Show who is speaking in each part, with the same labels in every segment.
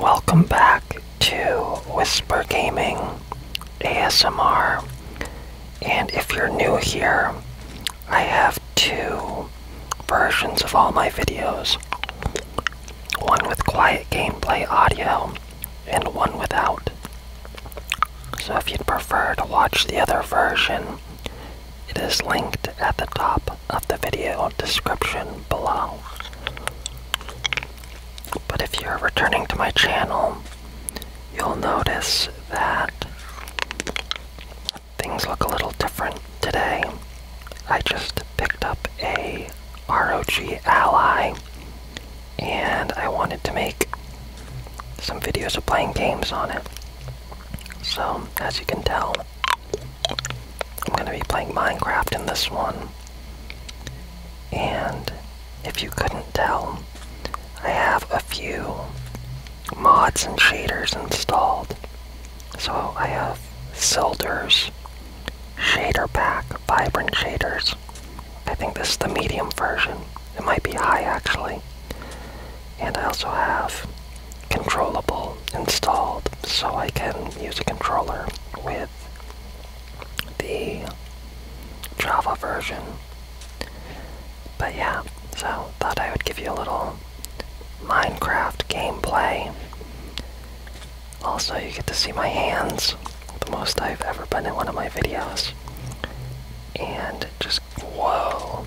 Speaker 1: Welcome back to Whisper Gaming ASMR. And if you're new here, I have two versions of all my videos one with quiet gameplay audio, and one without. So if you'd prefer to watch the other version, it is linked at the top of the video description below. But if you're returning to my channel, you'll notice that things look a little different today. I just picked up a ROG Ally and I wanted to make some videos of playing games on it. So, as you can tell, I'm going to be playing Minecraft in this one. And if you couldn't tell, I have a few mods and shaders installed. So I have Silder's Shader Pack, Vibrant Shaders. I think this is the medium version. It might be high actually and I also have controllable installed so I can use a controller with the Java version. But yeah, so thought I would give you a little Minecraft gameplay. Also, you get to see my hands, the most I've ever been in one of my videos. And just, whoa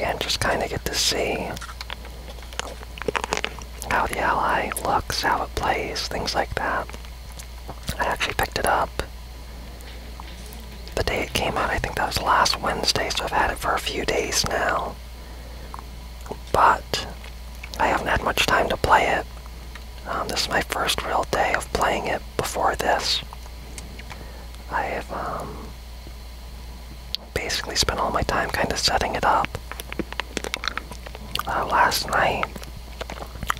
Speaker 1: and just kind of get to see how the ally looks, how it plays, things like that. I actually picked it up the day it came out. I think that was last Wednesday, so I've had it for a few days now. But I haven't had much time to play it. Um, this is my first real day of playing it before this. I have um, basically spent all my time kind of setting it up. Uh, last night,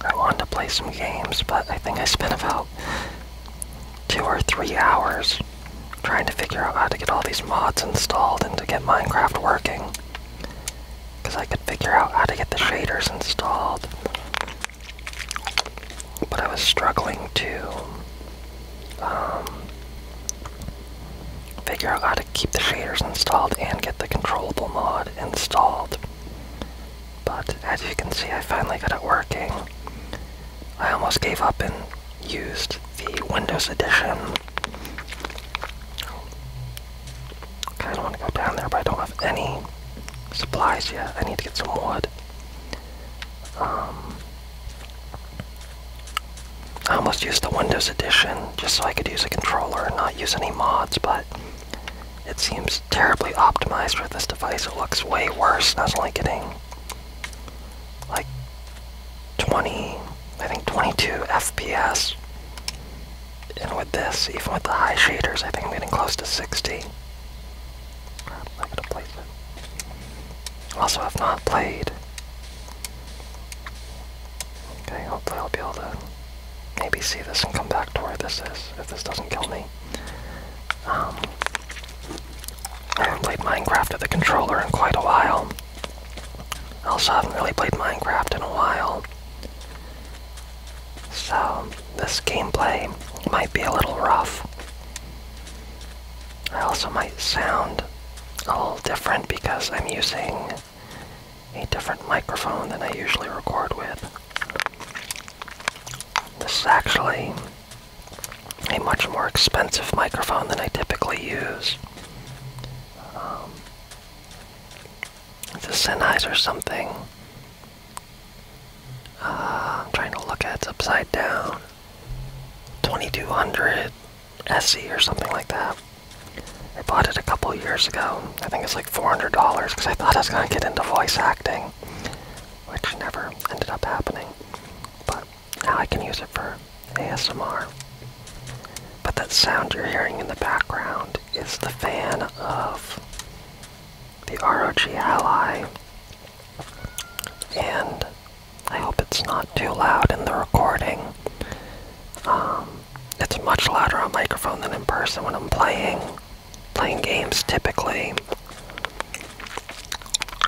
Speaker 1: I wanted to play some games, but I think I spent about two or three hours trying to figure out how to get all these mods installed and to get Minecraft working. Because I could figure out how to get the shaders installed but I was struggling to um, figure out how to keep the shaders installed and get the controllable mod installed. But as you can see, I finally got it working. I almost gave up and used the Windows Edition. Okay, I don't want to go down there, but I don't have any supplies yet. I need to get some wood. Um, I almost used the Windows edition just so I could use a controller and not use any mods, but it seems terribly optimized for this device. It looks way worse. I was only getting like 20, I think 22 FPS. And with this, even with the high shaders, I think I'm getting close to 60. I'm gonna it. Also, I've not played. Okay, hopefully I'll be able to maybe see this and come back to where this is, if this doesn't kill me. Um, I haven't played Minecraft at the controller in quite a while. Also, I haven't really played Minecraft in a while. So, this gameplay might be a little rough. I also might sound a little different because I'm using a different microphone than I usually record with. This is actually a much more expensive microphone than I typically use. it's um, a Sennheiser something. Uh, I'm trying to look at it. It's upside down. 2200 SE or something like that. I bought it a couple years ago. I think it's like $400 because I thought I was going to get into voice acting, which never ended up happening. But now I can use it for ASMR. But that sound you're hearing in the background is the fan of the ROG Ally and I hope it's not too loud in the recording. Um, it's much louder on microphone than in person when I'm playing playing games typically.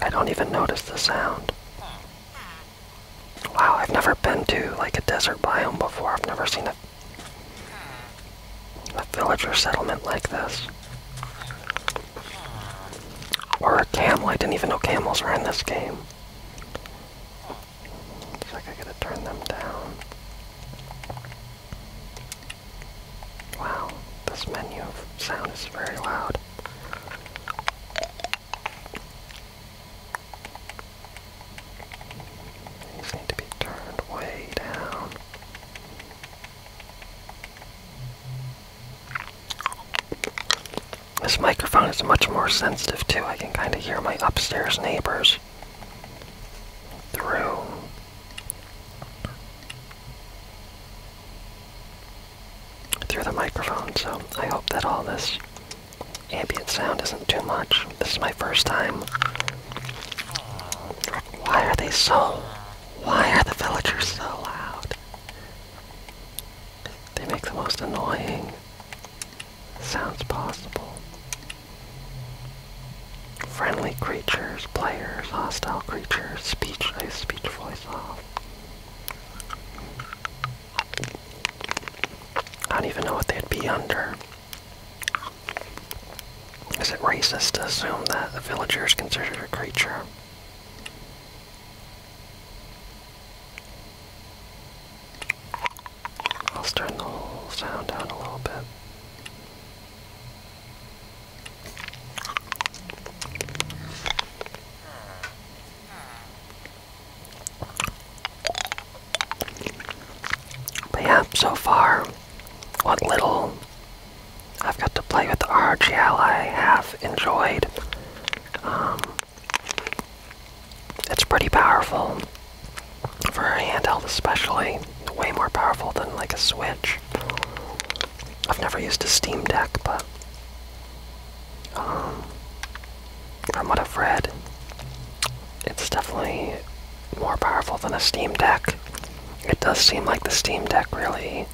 Speaker 1: I don't even notice the sound. Wow, I've never been to like a desert biome before. I've never seen a, a or settlement like this. Or a camel. I didn't even know camels were in this game. I gotta turn them down. Wow, this menu sound is very loud. These need to be turned way down. This microphone is much more sensitive too. I can kind of hear my upstairs neighbors through. Through the microphone, so I hope that all this ambient sound isn't too much. This is my first time. Why are they so? Why are the villagers so loud? They make the most annoying sounds possible. Friendly creatures, players, hostile creatures, speechless, speechless, speech off. I don't even know what they'd be under. Is it racist to assume that a villager is considered a creature? I'll turn the whole sound down a little bit. But yeah, so far, what little I've got to play with the RGL I have enjoyed. Um, it's pretty powerful for a handheld especially. Way more powerful than like a Switch. I've never used a Steam Deck, but um, from what I've read, it's definitely more powerful than a Steam Deck. It does seem like the Steam Deck really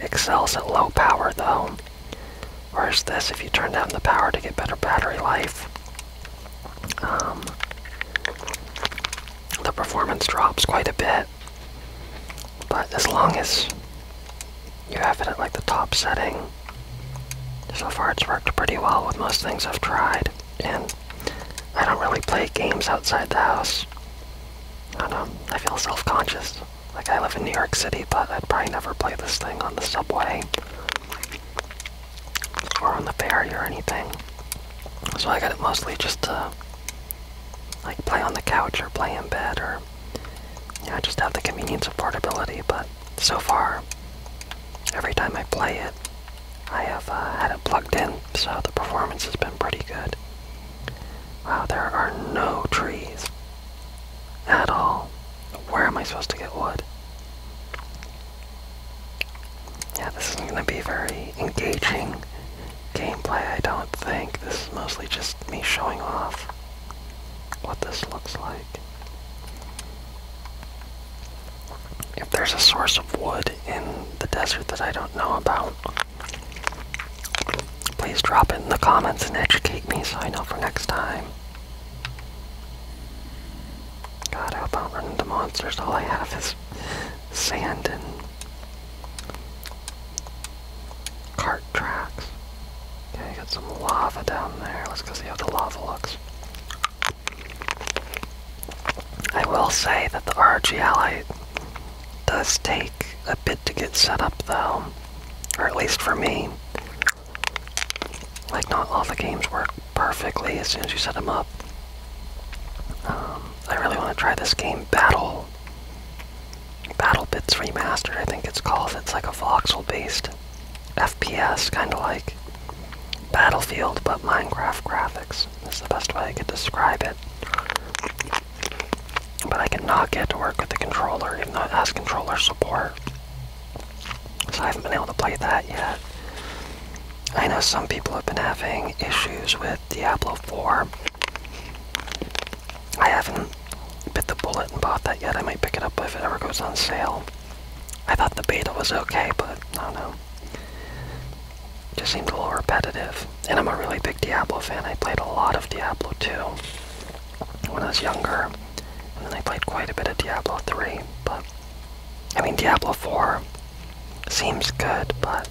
Speaker 1: excels at low power though. Whereas this, if you turn down the power to get better battery life, um, the performance drops quite a bit. But as long as you have it at like the top setting, so far it's worked pretty well with most things I've tried. And I don't really play games outside the house. I know, I feel self-conscious. Like, I live in New York City, but I'd probably never play this thing on the subway or on the ferry or anything. So I got it mostly just to, like, play on the couch or play in bed or, you know, just have the convenience of portability. But so far, every time I play it, I have uh, had it plugged in, so the performance has been pretty good. Wow, there are no trees at all. Where am I supposed to get wood? Yeah, this is going to be very engaging gameplay, I don't think. This is mostly just me showing off what this looks like. If there's a source of wood in the desert that I don't know about, Please drop it in the comments and educate me so I know for next time. God, I hope I don't monsters. All I have is sand and cart tracks. Okay, got some lava down there. Let's go see how the lava looks. I will say that the R G I does take a bit to get set up though, or at least for me. Like not all the games work perfectly as soon as you set them up. Um, I really want to try this game, Battle. Battle Bits Remastered, I think it's called. It's like a voxel-based FPS, kind of like Battlefield, but Minecraft graphics is the best way I could describe it. But I cannot get to work with the controller, even though it has controller support. So I haven't been able to play that yet. I know some people have been having issues with Diablo 4. I haven't bit the bullet and bought that yet. I might pick it up if it ever goes on sale. I thought the beta was okay, but I don't know. just seemed a little repetitive and I'm a really big Diablo fan. I played a lot of Diablo 2 when I was younger, and then I played quite a bit of Diablo 3. But I mean, Diablo 4 seems good, but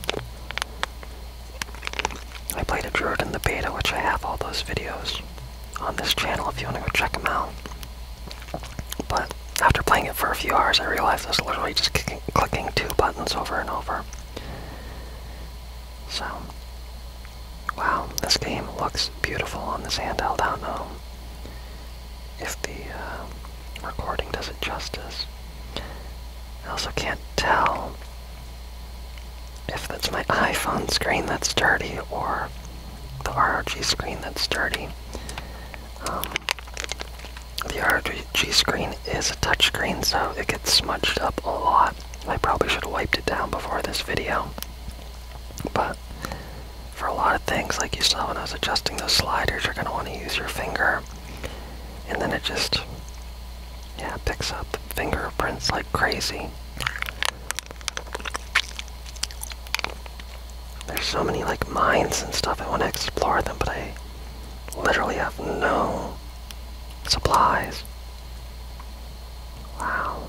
Speaker 1: I played a druid in the beta, which I have all those videos on this channel if you want to go check them out. But after playing it for a few hours, I realized I was literally just clicking two buttons over and over. So, wow, this game looks beautiful on this handheld. I don't if the uh, recording does it justice. I also can't tell if that's my iPhone screen that's dirty or the ROG screen that's dirty. Um, the ROG G screen is a touchscreen, so it gets smudged up a lot. I probably should have wiped it down before this video. But for a lot of things, like you saw when I was adjusting those sliders, you're going to want to use your finger. And then it just, yeah, picks up fingerprints like crazy. There's so many like mines and stuff, I want to explore them, but I literally have no Supplies. Wow.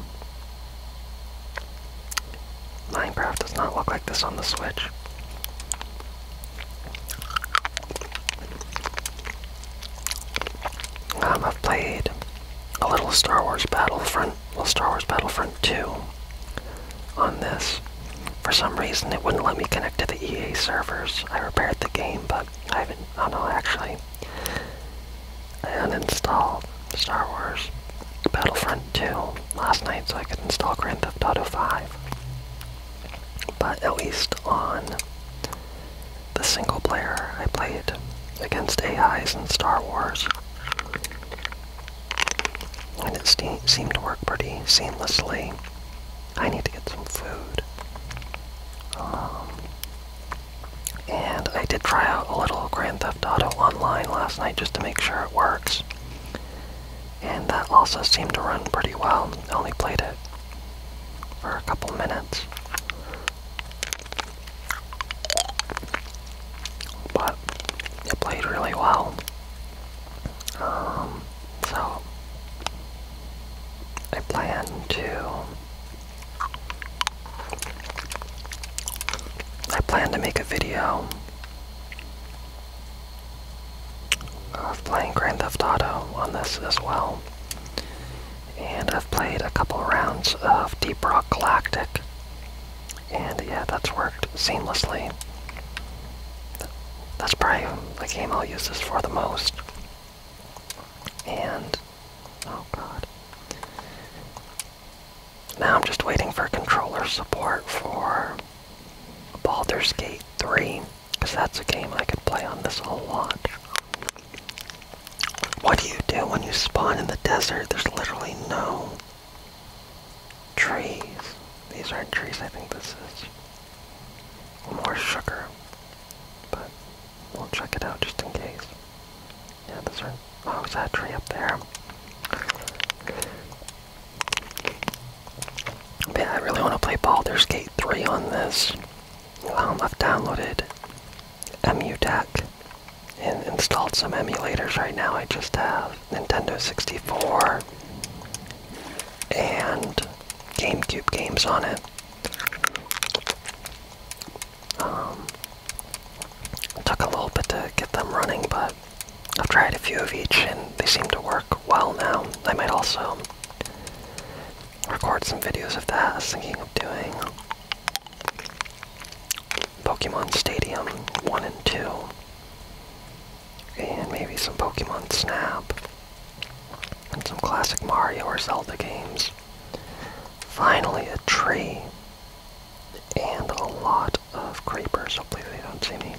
Speaker 1: Minecraft does not look like this on the Switch. Um, I've played a little Star Wars Battlefront, well, Star Wars Battlefront 2 on this. For some reason, it wouldn't let me connect to the EA servers. I repaired the game, but I have oh no, actually, I uninstalled Star Wars Battlefront 2 last night so I could install Grand Theft Auto 5. But at least on the single player I played against AIs in Star Wars. And it seemed to work pretty seamlessly. I need to get some food. Um, and I did try out a little Grand Theft Auto online last night just to make sure it works. And that also seemed to run pretty well. only played it for a couple minutes. But it played really well. Um, so I plan to I plan to make a video of playing Grand Theft Auto on this as well. And I've played a couple rounds of Deep Rock Galactic. And yeah, that's worked seamlessly. That's probably the game I'll use this for the most. And oh god. Now I'm just waiting for controller support for Baldur's Gate 3, because that's a game I could play on this whole lot. What do you do when you spawn in the desert? There's literally no trees. These aren't trees, I think this is more sugar, but we'll check it out just in case. Yeah, those are. Oh, is that tree up there? But I really want to play Baldur's Gate 3 on this. Um, I've downloaded EmuDeck and installed some emulators right now. I just have Nintendo 64 and GameCube games on it. Um, took a little bit to get them running, but I've tried a few of each and they seem to work well now. I might also record some videos of that I was thinking of doing. Pokemon Stadium 1 and 2. And maybe some Pokemon Snap and some classic Mario or Zelda games. Finally, a tree and a lot of creepers. Hopefully, they don't see me.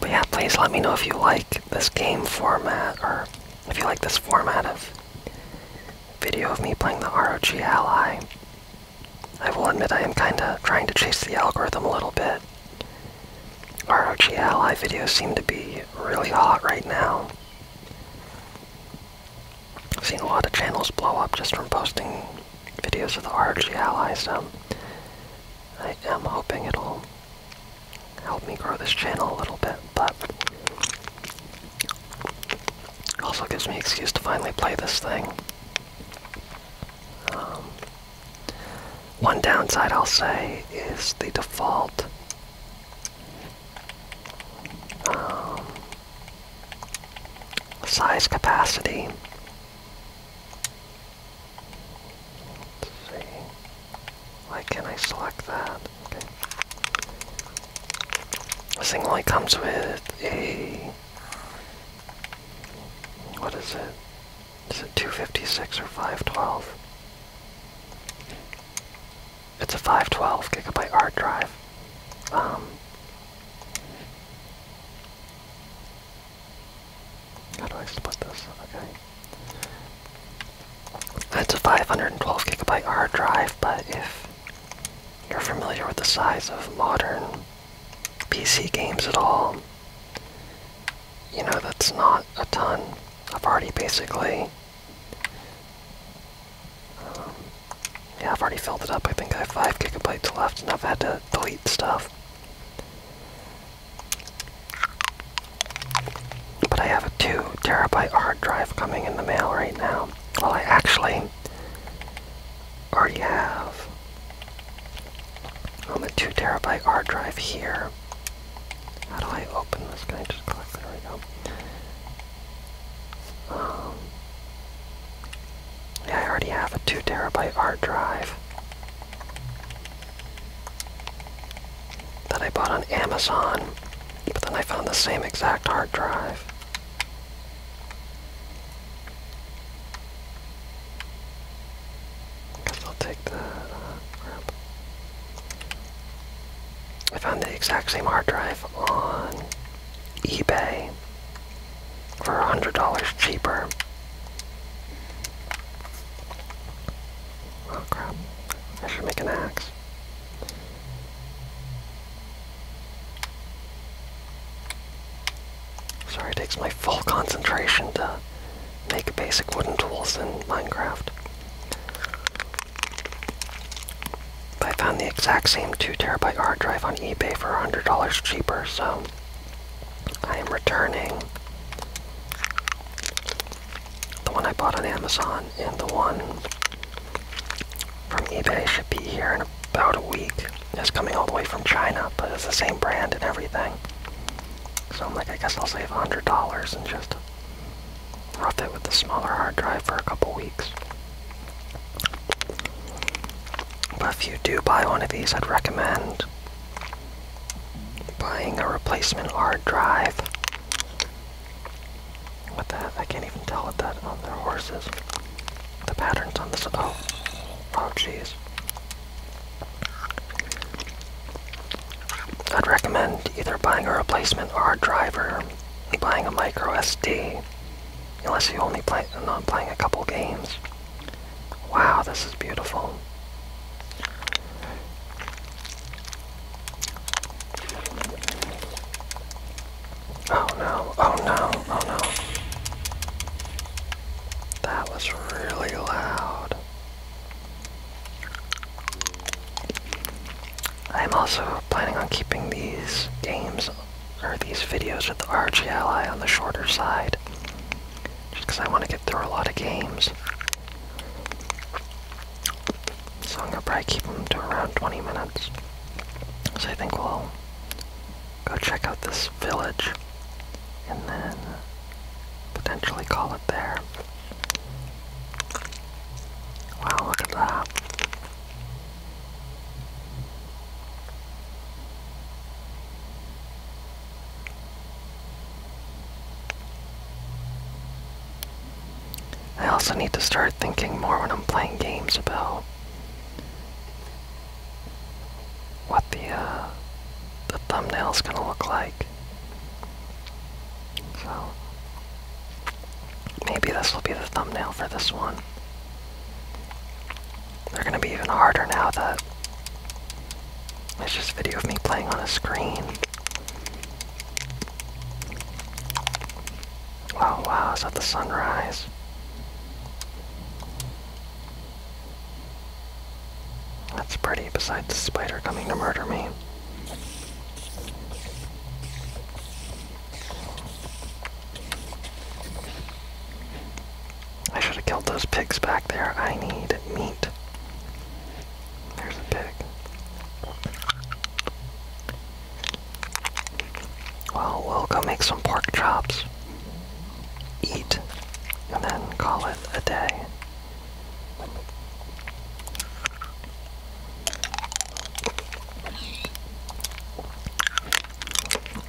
Speaker 1: But yeah, please let me know if you like this game format or if you like this format of video of me playing the ROG Ally. I will admit I am kinda trying to chase the algorithm a little bit. ROG Ally videos seem to be really hot right now. I've seen a lot of channels blow up just from posting videos of the ROG Ally, so I am hoping it'll help me grow this channel a little bit, but also gives me excuse to finally play this thing. Um, one downside I'll say is the default um, size capacity. Let's see. Why can not I select that? This thing only comes with a... What is it? Is it 256 or 512? It's a 512 gigabyte hard drive. Um, how do I split this? Okay. That's a 512 gigabyte hard drive, but if you're familiar with the size of modern PC games at all, you know that's not a ton. I've already basically. Um, yeah, I've already filled it up. I think I have 5 gigabytes left, and I've had to delete stuff. But I have a 2 terabyte hard drive coming in the mail right now. Well, I actually already have on the 2 terabyte hard drive here. How do I open this? Can I just click? There we go. Um, yeah, I already have a 2 terabyte hard drive that I bought on Amazon but then I found the same exact hard drive. Guess I'll take that. Uh, I found the exact same hard drive on eBay for $100 cheaper. Oh crap. I should make an axe. Sorry, it takes my full concentration to make basic wooden tools in Minecraft. But I found the exact same 2TB hard drive on eBay for $100 cheaper, so I am returning the one I bought on Amazon and the one from eBay should be here in about a week. It's coming all the way from China, but it's the same brand and everything. So I'm like, I guess I'll save $100 and just rough it with the smaller hard drive for a couple weeks. But if you do buy one of these, I'd recommend buying a replacement hard drive what the heck? I can't even tell what that on their horses. The patterns on this. Oh. Oh, jeez. I'd recommend either buying a replacement or a driver, buying a micro SD, unless you only play not playing a couple games. Wow, this is beautiful. Oh no, oh no, oh no. That was really loud. I'm also planning on keeping these games or these videos with the RG Ally on the shorter side. Just because I want to get through a lot of games. So I'm gonna probably keep them to around 20 minutes. So I think we'll go check out this village and then potentially call it there. Wow, look at that. I also need to start thinking more when I'm playing games about what the uh, the thumbnail's gonna look like. So maybe this will be the thumbnail for this one. They're gonna be even harder now that it's just video of me playing on a screen. Oh wow, is that the sunrise? That's pretty, besides the spider coming to murder me. I should have killed those pigs back there. I need meat. There's a pig. Well, we'll go make some pork chops, eat, and then call it a day.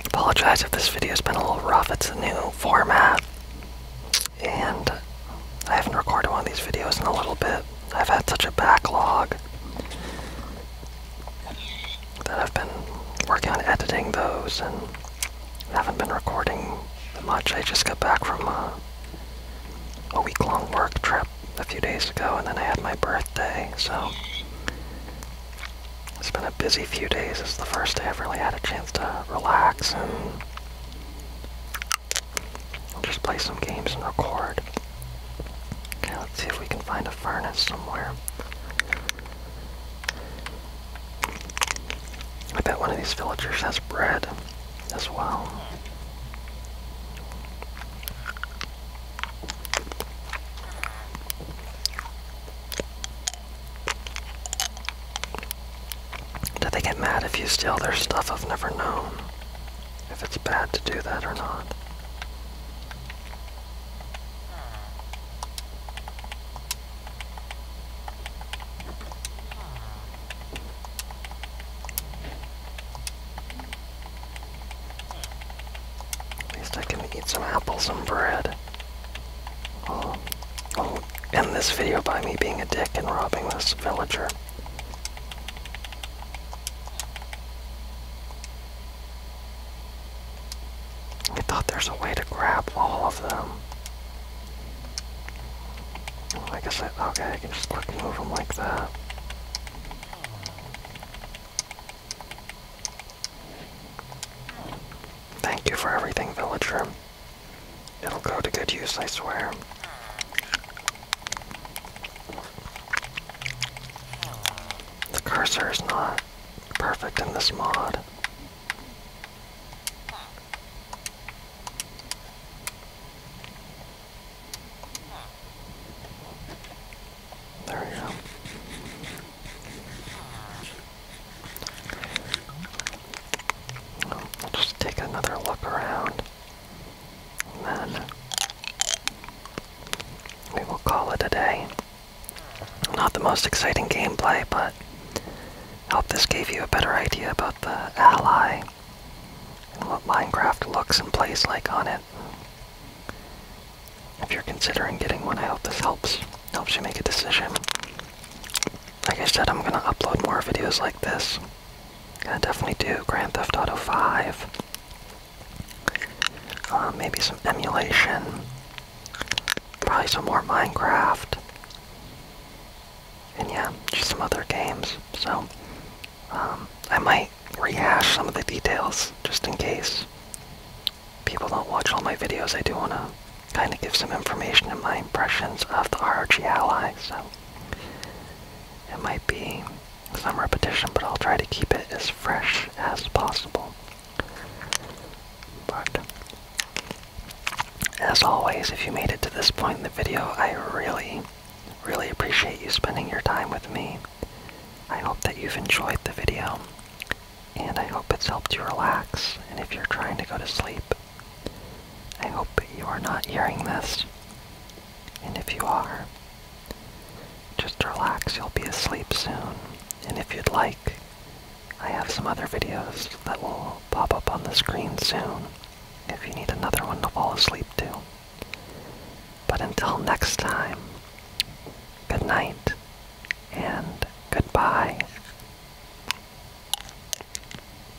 Speaker 1: Apologize if this video's been a little rough. It's a new format and I haven't recorded one of these videos in a little bit. I've had such a backlog that I've been working on editing those and haven't been recording much. I just got back from uh, a, week-long work trip a few days ago, and then I had my birthday, so it's been a busy few days. It's the first day I've really had a chance to relax just play some games and record. Okay, let's see if we can find a furnace somewhere. I bet one of these villagers has bread as well. Do they get mad if you steal their stuff? I've never known if it's bad to do that or not. At least I can eat some apples and bread. I'll, oh, oh, end this video by me being a dick and robbing this villager. I thought there's a way to grab all of them. Like I okay, I can just quick move them like that. Thank you for everything, villager. It'll go to good use, I swear. The cursor is not perfect in this mod. There we go. just take another look around then we will call it a day. Not the most exciting gameplay, but I hope this gave you a better idea about the ally and what Minecraft looks and plays like on it. If you're considering getting one, I hope this helps. Helps you make a decision. Like I said, I'm gonna upload more videos like this. I definitely do Grand Theft Auto 5. Uh, maybe some emulation. Probably some more Minecraft. And yeah, just some other games. So, um, I might rehash some of the details just in case people don't watch all my videos. I do want to kind of give some information and my impressions of the ROG Ally. So, it might be some repetition, but I'll try to keep it as fresh as possible. But as always, if you made it to this point in the video, I really, really appreciate you spending your time with me. I hope that you've enjoyed the video, and I hope it's helped you relax, and if you're trying to go to sleep, I hope you are not hearing this. And if you are, just relax, you'll be asleep soon. And if you'd like, I have some other videos that will pop up on the screen soon if you need another one to fall asleep to. But until next time, good night and goodbye.